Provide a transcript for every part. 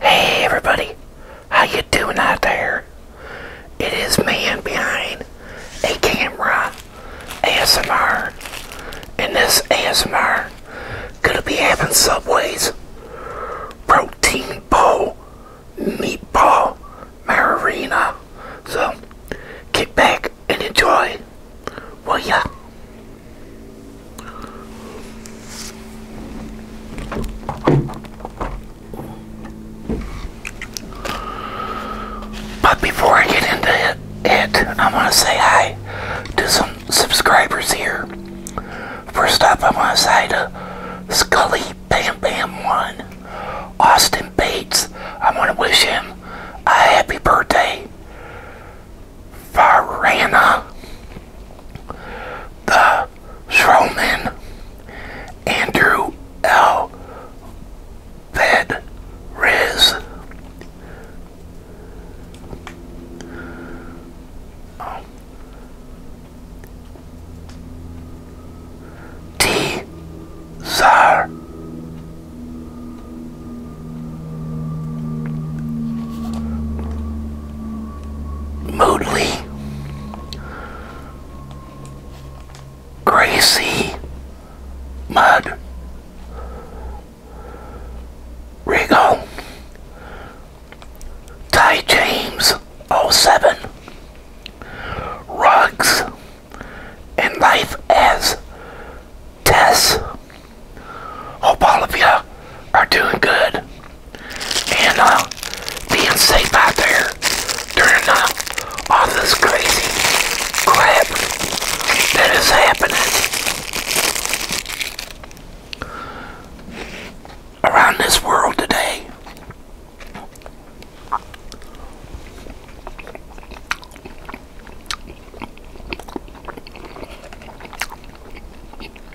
Hey everybody, how you doing out there? It is man behind a camera ASMR. and this ASMR, gonna be having Subway's protein bowl meatball marina. So, kick back and enjoy, will ya? But before I get into it, I want to say hi to some subscribers here. First up, I want to say to Scully Bam Bam 1, Austin Bates. I want to wish him a happy birthday. Farana, the Shroman, Andrew L. Fed Riz. T. Zar Moodley, Gracie, Mud, Rigo, Ty James 07, Rugs, and Life as death. Hope all of you are doing good and uh, being safe out there during uh, all this crazy crap that is happening around this world today.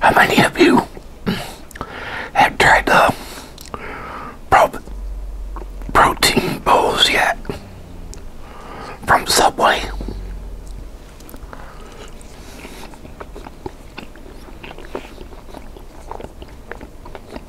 How many of you have tried the protein bowls yet from Subway?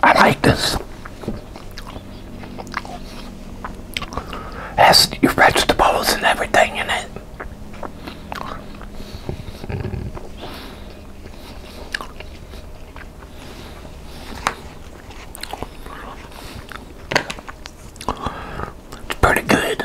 I like this. Has your vegetables and everything in it. It's pretty good.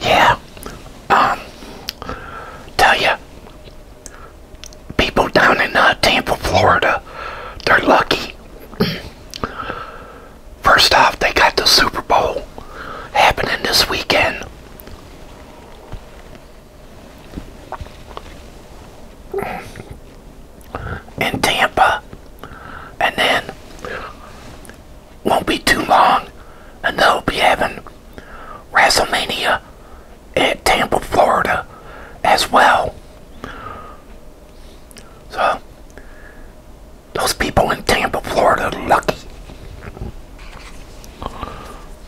Yeah, um, tell you, people down in uh, Tampa, Florida, they're lucky. First off, they got the Super Bowl happening this weekend in Tampa. And then won't be too long and they'll be having WrestleMania at Tampa, Florida as well. So those people in Tampa, Florida are lucky.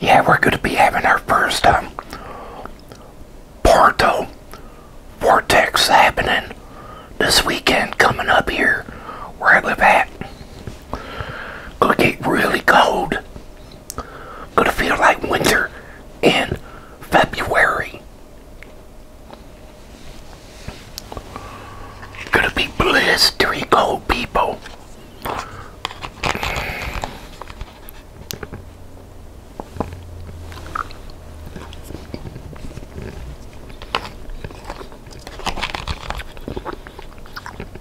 Yeah, we're going to be having our first um, Porto Vortex happening this weekend coming up here where I live at. Gonna get really cold. Gonna feel like winter in February. Gonna be blistering cold, people.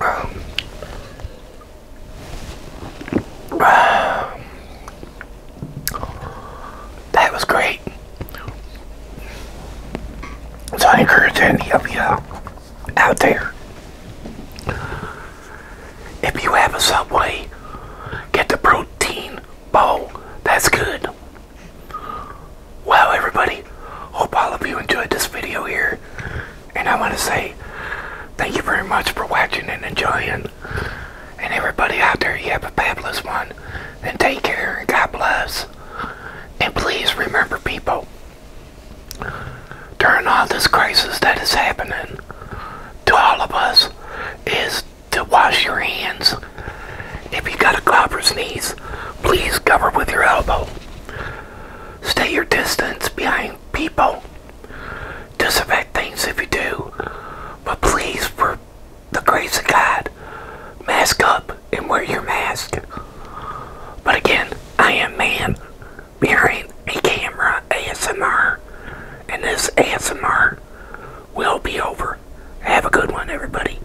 Um, that was great. So I encourage any of you out there, if you have a Subway, get the protein bowl. That's good. Well, everybody, hope all of you enjoyed this video here. And I want to say thank you very much for watching and enjoying. And everybody out there, you have a fabulous one. And take care and God bless. And please remember, people, during all this crisis that is happening to all of us, is to wash your hands. If you got a cough or sneeze, please cover with your elbow. Stay your distance behind people. Disinfect things if you do. But please, for the grace of God, mask up and wear your mask. But again, I am man behind a camera ASMR. And this ASMR will be over. Have a good one, everybody.